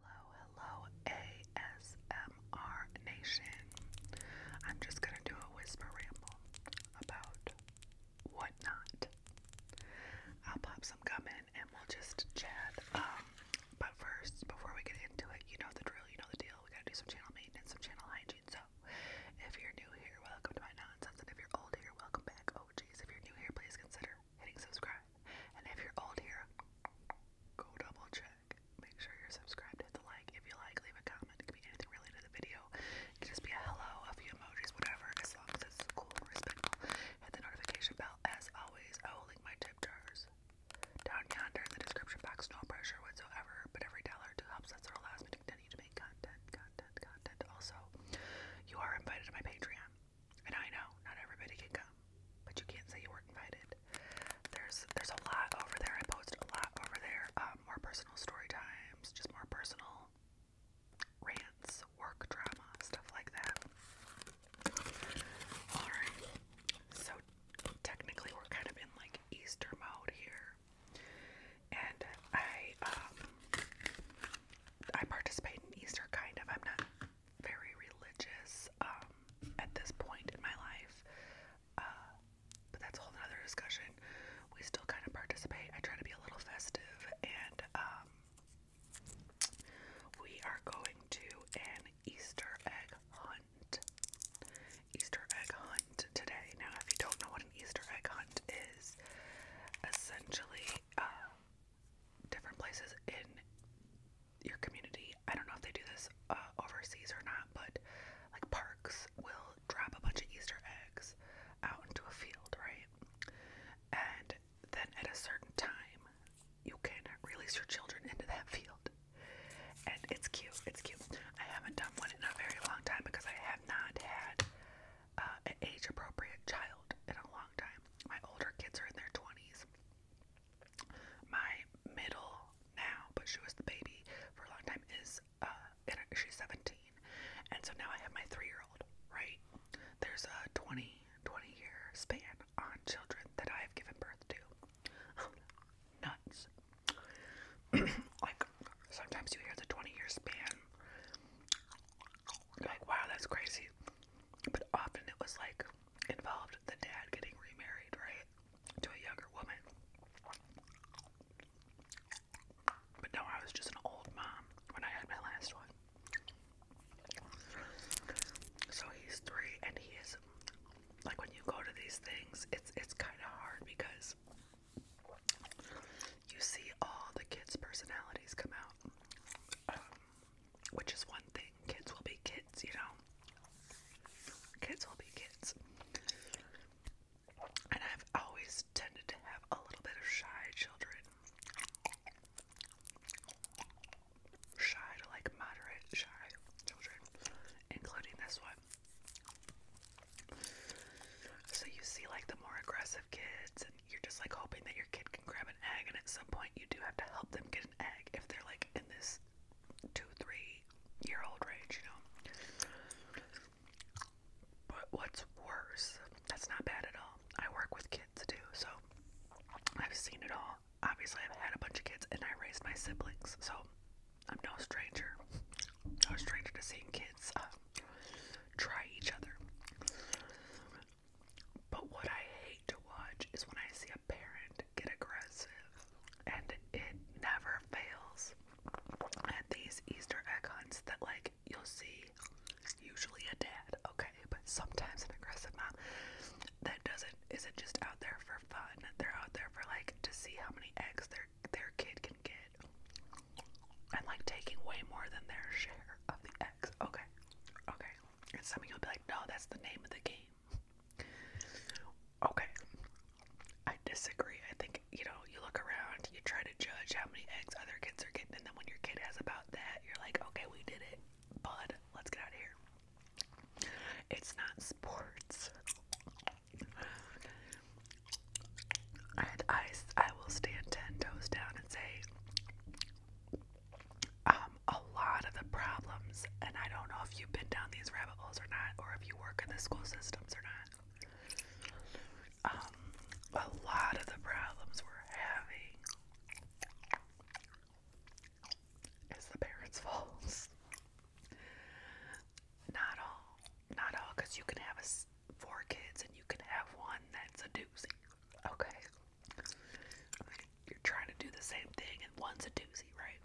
Hello, hello, ASMR Nation. I'm just gonna do a whisper ramble about whatnot. I'll pop some gum in and we'll just chat. Um, but first, before we get into it, you know the drill, you know the deal. We gotta do some channel maintenance, some channel hygiene. So, if you're new here, welcome to my nonsense. And if you're old here, welcome back. Oh, geez, if you're new here, please consider hitting subscribe. And if you're old here, go double check. Make sure you're subscribed. Hit the like. If you like, leave a comment. It can be anything related to the video. It can just be a hello, a few emojis, whatever, as long as it's cool and respectful. Hit the notification bell. As always, I will link my tip jars down yonder in the description box. No pressure whatsoever, but every dollar to helps That's or allows me to continue to make content, content, content. Also, you are invited to my Patreon. And I know not everybody can come, but you can't say you were invited. There's there's a lot over there. I post a lot over there. Um, more personal story times, just more personal rants, work drama, stuff like that. All right. So technically, we're kind of in like Easter mode here, and I um I participate in Easter kind of. I'm not very religious um, at this point in my life, uh, but that's a whole other discussion. We still kind of participate. I try to be a little festive, and um, we are going to an Easter egg hunt. Easter egg hunt today. Now, if you don't know what an Easter egg hunt is, essentially, uh, different places in your community. I don't know if they do this uh, overseas or not, but like parks will drop a bunch of Easter eggs out into a field, right? And then at a certain time, you can release your children into that field. And it's cute, it's cute. I haven't done one in a very long time because I have not had uh, an age appropriate child in a long time. My older kids are in their 20s. My middle now, but she was the baby for a long time, is uh, she's 17. And so now I have my three year old, right? There's a 20, 20 year span on children that I have given birth to. Nuts. like, sometimes you hear the 20 year span like wow that's crazy but often it was like involved the dad getting remarried right to a younger woman but no i was just an old mom when i had my last one so he's three and he is like when you go to these things it's it's kind of hard because you see all the kids personalities come out um, which is one thing. Kids will be kids, you know. Kids will be kids. And I've always tended to have a little bit of shy children. Shy to like moderate shy children, including this one. So you see, like, the more aggressive of kids and you're just like hoping that your kid can grab an egg and at some point you do have to help them get an egg if they're like in this two, three year old range, you know. But what's worse, that's not bad at all. I work with kids too, so I've seen it all. Obviously, I've had a bunch of kids and I raised my siblings, so I'm no stranger. No stranger to seeing kids uh, try each other. But what I hate to watch is when I see a parent get aggressive, and it never fails. And these Easter egg hunts, that like you'll see usually a dad, okay, but sometimes an aggressive mom that doesn't isn't just out there for fun. They're out there for like to see how many eggs their their kid can get, and like taking way more than their share of the eggs. Okay, okay. And some will be like, no, that's the name of the game. Okay, I disagree. I think you know, you look around, you try to judge how many eggs other kids are getting, and then when your kid has about that, you're like, okay, we did it, bud. Let's get out of here. It's not sports. And I, I will stand ten toes down and say, um, a lot of the problems, and I don't know if you've been down these rabbit holes or not, or if you work in the school systems or not. Um, a lot of the problems we're having is the parents' faults. Not all, not all, you can have a four kids and you can have one that's a doozy. Okay. You're trying to do the same thing and one's a doozy, right?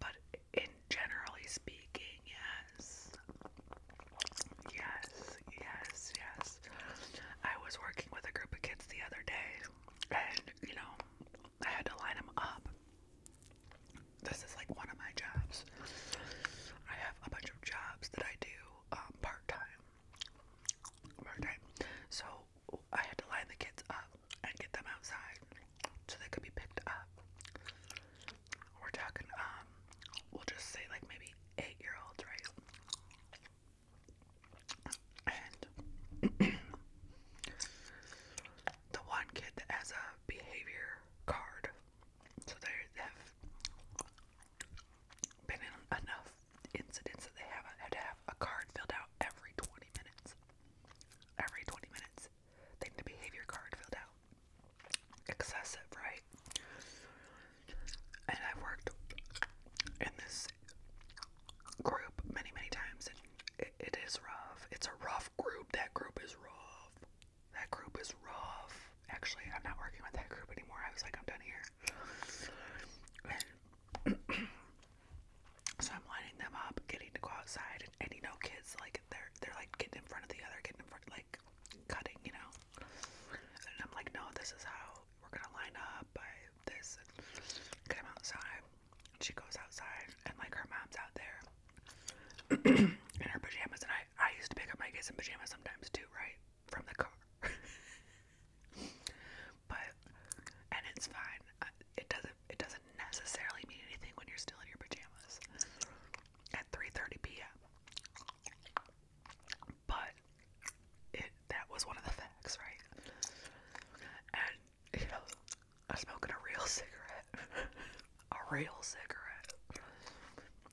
But in generally speaking, yes. Yes, yes, yes. I was working with a group of kids the other day and, you know, I had to line them up. This is like one of my jobs. I have a bunch of jobs that I do um, part time. Part time. So I had to line the kids up and get them outside so they could be picked up. We're talking, um, we'll just say like maybe eight year olds, right? And the one kid that has a behavior card, so they have been in enough incidents that they have to have a card filled out every 20 minutes. Every 20 minutes, they need a behavior card filled out. Excessive, right? And I've worked in this group many, many times, it is rough. It's a rough group. That group is rough. That group is rough. Actually, I'm not working with that group anymore. I was like, I'm done here. so I'm lining them up, getting to go outside, and, and you know, kids like they're they're like getting in front of the other, getting in front, like cutting, you know. And I'm like, no, this is how we're gonna line up by this. Get them outside. And she goes outside, and like her mom's out there in her pajamas, and I I used to pick up my kids in pajamas sometimes too, right? from the car. but and it's fine. Uh, it doesn't it doesn't necessarily mean anything when you're still in your pajamas at 3:30 p.m. But it that was one of the facts, right? And you know, I was smoking a real cigarette, a real cigarette,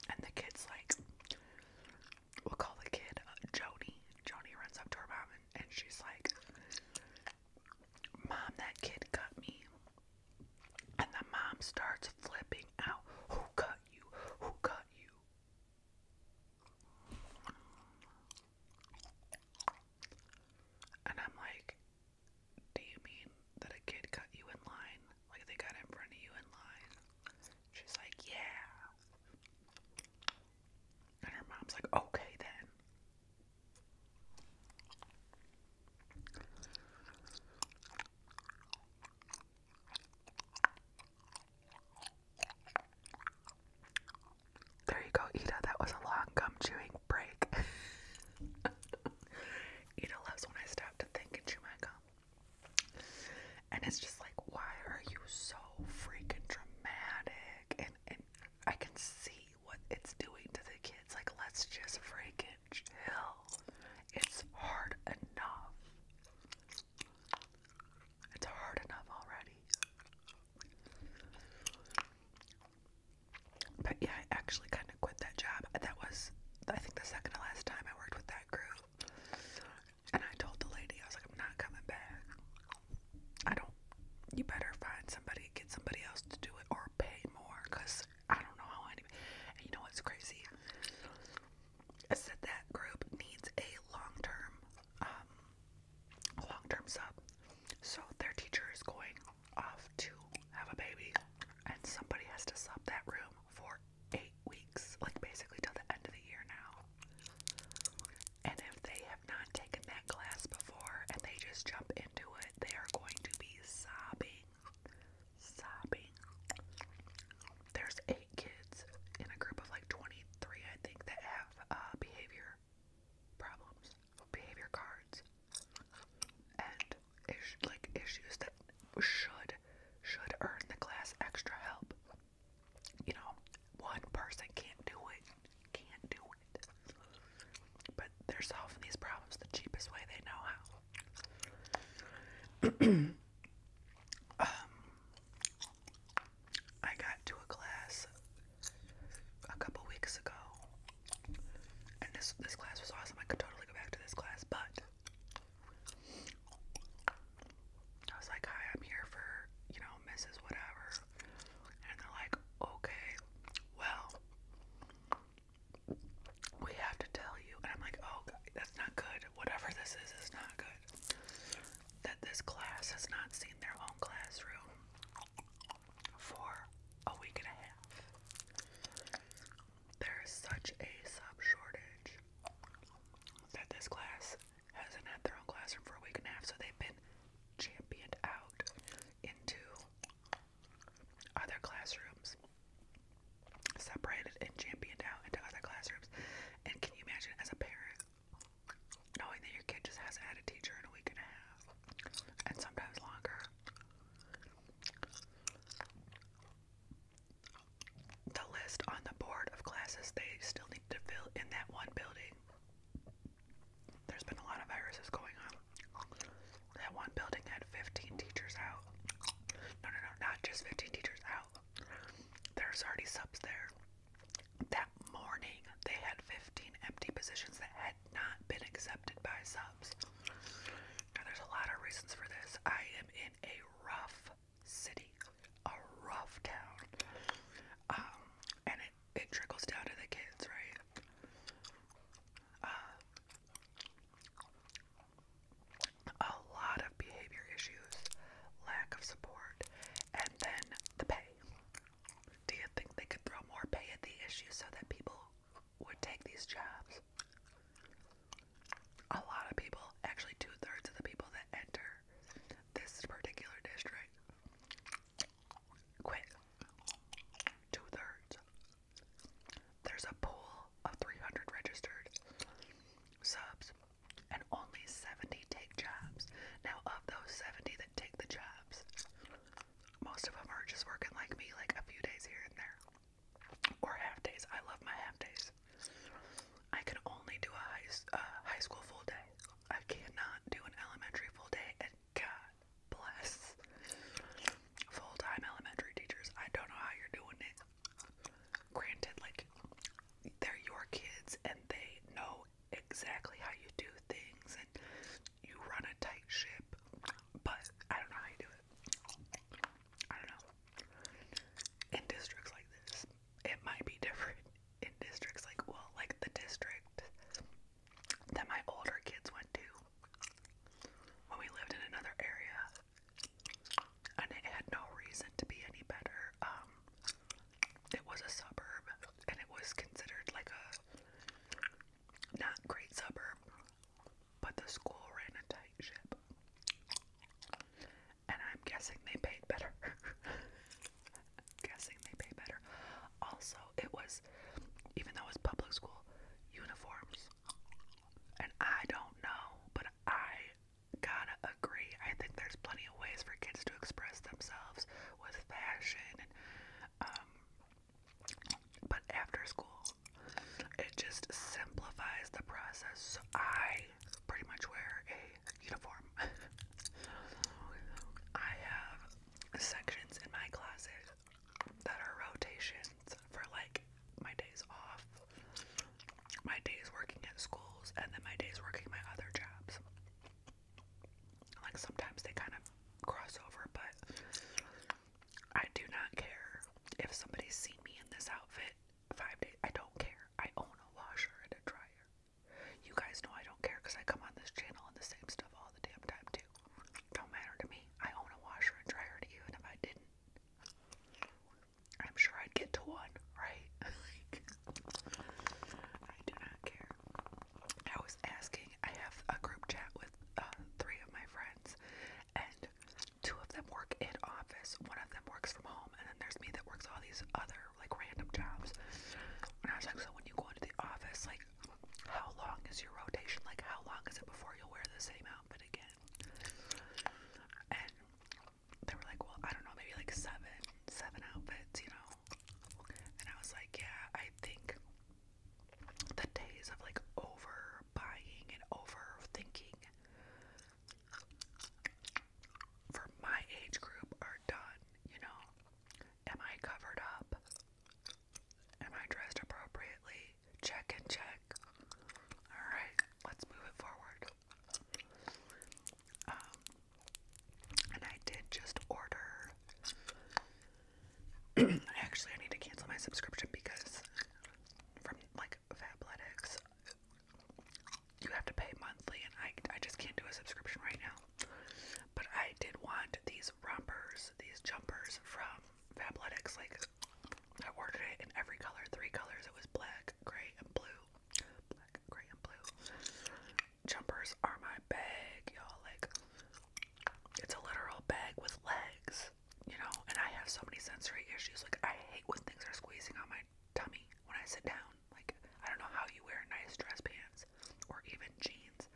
and the kid's like, we'll call the kid uh, Joni. Joni runs up to her mom and, and she's like, Mom, that kid cut me. And the mom starts flipping out. Who cut you? Who cut you? And I'm like, do you mean that a kid cut you in line? Like they got in front of you in line. She's like, yeah. And her mom's like, okay then. There you go, Ida. That was a long gum chewing break. Ida loves when I stop to think and chew my gum. And it's just like, why are you so freaking dramatic? And and I can see what it's doing to the kids. Like, let's just freaking chill. It's hard enough. It's hard enough already. But yeah, I actually kind of quit that job. That was, I think, the second to last time I worked with that group. And I told the lady, I was like, I'm not coming back. I don't, you better find somebody, get somebody else to do it or pay more because I don't know how any, and you know what's crazy? I said that group needs a long term, um, long term sub. So their teacher is going off to have a baby and somebody has to sub that room for eight weeks, like basically till the end of the year now. And if they have not taken that class before and they just jump into it, they are going to be sobbing. Sobbing. There's eight kids in a group of like 23, I think, that have uh, behavior problems, behavior cards. And like issues that should should earn the class extra help. You know, one person can't do it, can't do it. But they're solving these problems the cheapest way they know how. um, I got to a class a couple weeks ago, and this this class was awesome. I could totally go back to this class, but I was like, hi, I'm here for, you know, Mrs. Whatever. And they're like, okay, well, we have to tell you. And I'm like, oh, that's not good. Whatever this is, is not good. That this class has not seen their own classroom for a week and a half. There is such a sub shortage that this class hasn't had their own classroom for a week and a half, so they've been championed out into other classrooms, separated and championed out into other classrooms. And can you imagine as a parent knowing that your kid just hasn't had a teacher in a week and a half, and sometimes longer? the list on the board of classes they still need to fill in that one building. There's been a lot of viruses going on. That one building had 15 teachers out. No, no, no, not just 15 teachers out. There's already subs there. That morning, they had 15 empty positions that had not been accepted by subs. Now, there's a lot of reasons for this. I am in a rough city, a rough town. Um, and it, it trickles down to the kids, right? Uh, a lot of behavior issues, lack of support, and then the pay. Do you think they could throw more pay at the issue so that people would take these jobs? a lot of people, actually two thirds of the people that enter this particular district, quit. Two thirds. There's a pool of 300 registered subs, and only 70 take jobs. Now, of those 70 that take the jobs, most of them are just working like me, like a few days here and there or half days. I love my half days. I can only do a high, school full day. I cannot do an elementary full day. And God bless full time elementary teachers. I don't know how you're doing it. Granted, like, they're your kids and they know exactly how you do things and you run a tight ship, but I don't know how you do it. I don't know in districts like this. It might be different in districts like, well, like the district that my older kids went to when we lived in another area. And it had no reason to be any better. Um, it was a suburb, and it was considered like a not great suburb but the school ran a tight ship. And I'm guessing they paid better. guessing they pay better. Also, it was, even though it was public school, uniforms. And I don't know, but I gotta agree. I think there's plenty of ways for kids to express themselves with fashion and, um, but after school, it just simplifies the process. I pretty much wear a uniform. I have sections in my classes that are rotations for like my days off, my days working at schools, and then my days working my other jobs. Like sometimes they kind of cross over, but I do not care if somebody's seen me in this outfit five days. I don't care. I own a washer and a dryer. You guys know I don't care because I come on this channel and the same stuff all the damn time too. Don't matter to me. I own a washer and dryer to if I didn't, I'm sure I'd get to one, right? I do not care. I was asking. I have a group chat with uh, three of my friends, and two of them work in office, one of them works from home, and then there's me that works all these other like random jobs. And I was like, so when you go into the office, like how long is your rotation? Like how long is it before you'll wear the same outfit again? And they were like, well, I don't know, maybe like seven, seven outfits, you know? And I was like, yeah, I think the days of like over overbuying and overthinking for my age group are done, you know. Am I covered up? Am I dressed appropriately? Check and check. Alright, let's move it forward. Um, and I did just order. actually I need to cancel my subscription because from like Fabletics. You have to pay monthly, and I I just can't do a subscription right now. But I did want these rompers, these jumpers from Fabletics. Like I ordered it in every color, three colors. It was black, gray, and blue. Black, gray, and blue. Jumpers are my bag, y'all. Like it's a literal bag with legs you know, and I have so many sensory issues. Like, I hate when things are squeezing on my tummy when I sit down. Like, I don't know how you wear nice dress pants or even jeans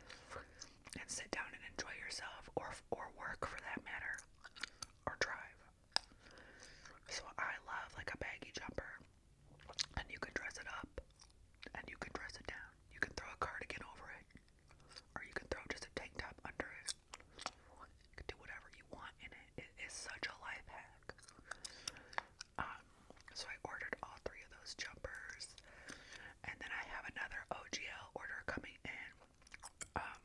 and sit down and enjoy yourself or, or work for that matter or drive. So, I love like a baggy jumper and you can dress it up and you can dress it down. You can throw a cardigan over it or you can throw just a tank top under it do whatever you want in it. It is such a life hack. Um, so I ordered all three of those jumpers, and then I have another OGL order coming in. Um,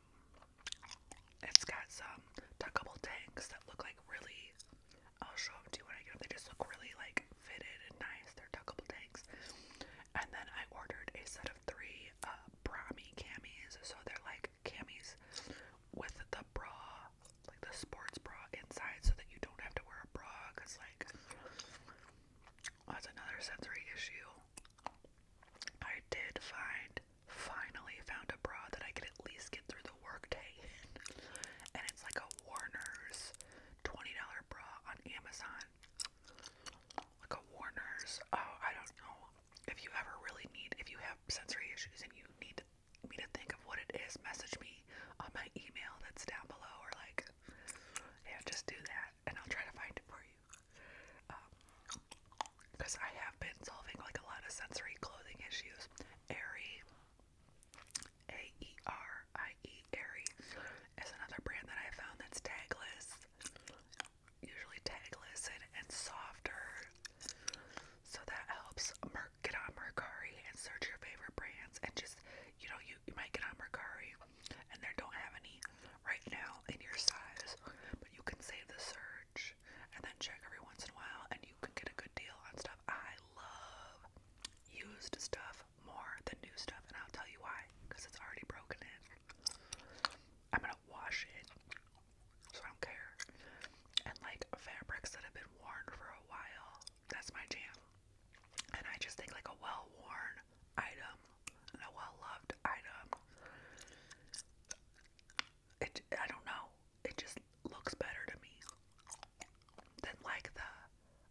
it's got some tuckable tanks that look like really. I'll show them to you when I get them. They just look really like fitted and nice. They're tuckable tanks. And then I ordered a set of three uh, Brahmi camis, so they're like camis with the bra, like the sports bra inside, so that you don't have to wear a bra, cause like that's another sensory issue. I did find, finally found a bra that I could at least get through the workday and it's like a Warner's twenty dollar bra on Amazon. Like a Warner's. Oh, I don't know if you ever really need, if you have sensory issues and you need me to think of what it is, message me on my email that's down below, or like, yeah, just do that, and I'll try to find it for you. Because um, I have been solving like a lot of sensory clothing issues. Aerie, A E R I E, Aerie, is another brand that I found that's tagless usually tag listed and softer. So that helps Mer get on Mercari and search your favorite brands and just you know you, you might get on Mercari and they don't have any right now in your size, but you can save the search and then check every once in a while and you can get a good deal on stuff. I love used stuff more than new stuff and I'll tell you why because it's already broken in. I'm gonna wash it, so I don't care. And like fabrics that have been worn for a while, that's my jam. And I just think like a well worn item and a well loved item. It I don't know. It just looks better to me than like the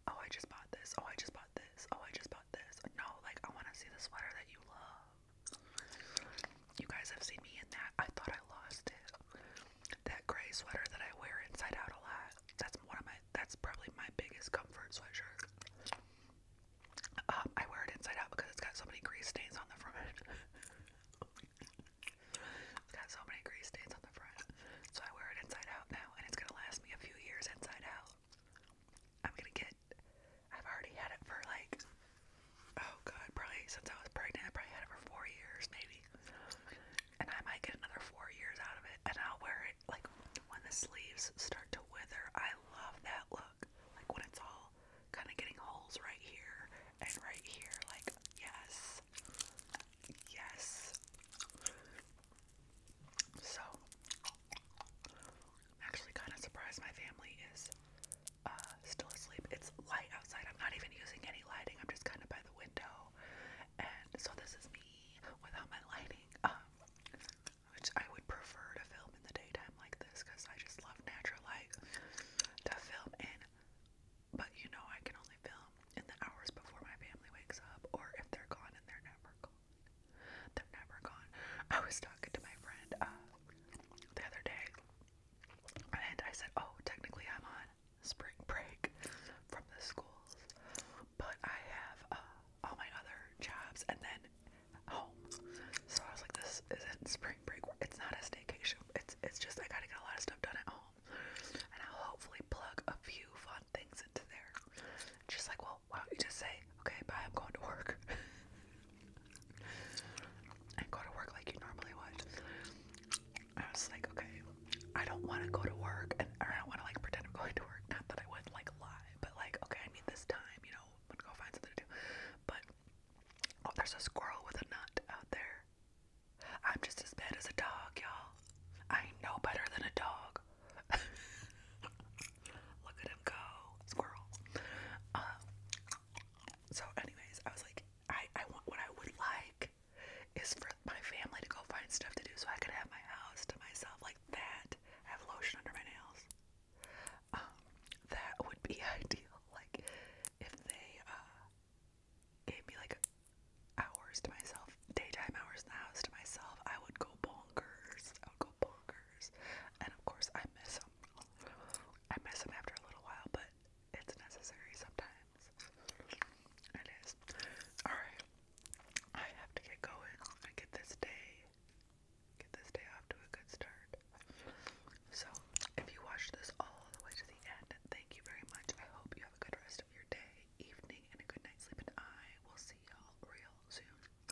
oh I just bought this, oh I just bought this, oh I just bought this. No, like I wanna see the sweater that you love. You guys have seen me in that. I thought I lost it. That gray sweater that I wear inside out a lot. That's one of my that's probably my biggest comfort sweatshirt. Um, I wear it inside out because it's got so many grease stains on the front. it's got so many grease stains on the front. So I wear it inside out now and it's gonna last me a few years inside out. I'm gonna get. I've already had it for like, oh god, probably since I was pregnant. I probably had it for four years, maybe. And I might get another four years out of it. And I'll wear it like when the sleeves start to wither. I love that look. Like when it's all kind of getting holes right here and right here. Like, yes. Yes. So, I'm actually kind of surprised my family is uh, still asleep. It's light outside. I'm not even using any lighting. I'm just kind of by the window. And so this is me without my lighting. Um, which I would prefer to film in the daytime like this because I just love natural light to film in. But you know, I can only film in the hours before my family wakes up or if they're gone and they're never gone. They're never gone. I was talking to my friend uh, the other day, and I said, "Oh, technically, I'm on spring break from the schools, but I have uh, all my other jobs and then home." So I was like, "This isn't spring break. It's not a staycation. It's it's just I gotta get a lot of stuff done at home." And I'll hopefully plug a few fun things into there. Just like, well, why don't you just say, okay, bye, I'm going to work? and go to work like you normally would. I was like, okay, I don't want to go to work, and I don't want to like pretend I'm going to work. Not that I would like lie, but like, okay, I need this time, you know, I'm gonna go find something to do. But oh, there's a squirrel with a nut out there. I'm just as bad as a dog, y'all. I know better than a dog. Look at him go, squirrel. Um, so, anyways, I was like, I, I want what I would like is for my family to go find stuff to do so I could have my house to myself like that. I have lotion under my nails. Um, that would be ideal. Like, if they uh, gave me like hours to myself, daytime hours in the house to myself, I would go bonkers. I would go bonkers. And of course, I miss them. I miss them after a little while, but it's necessary sometimes. It is. Alright. I have to get going. I get this day. Get this day off to a good start. So, if you watched this all the way to the end, thank you very much. I hope you have a good rest of your day, evening, and a good night's sleep. And I will see y'all real soon.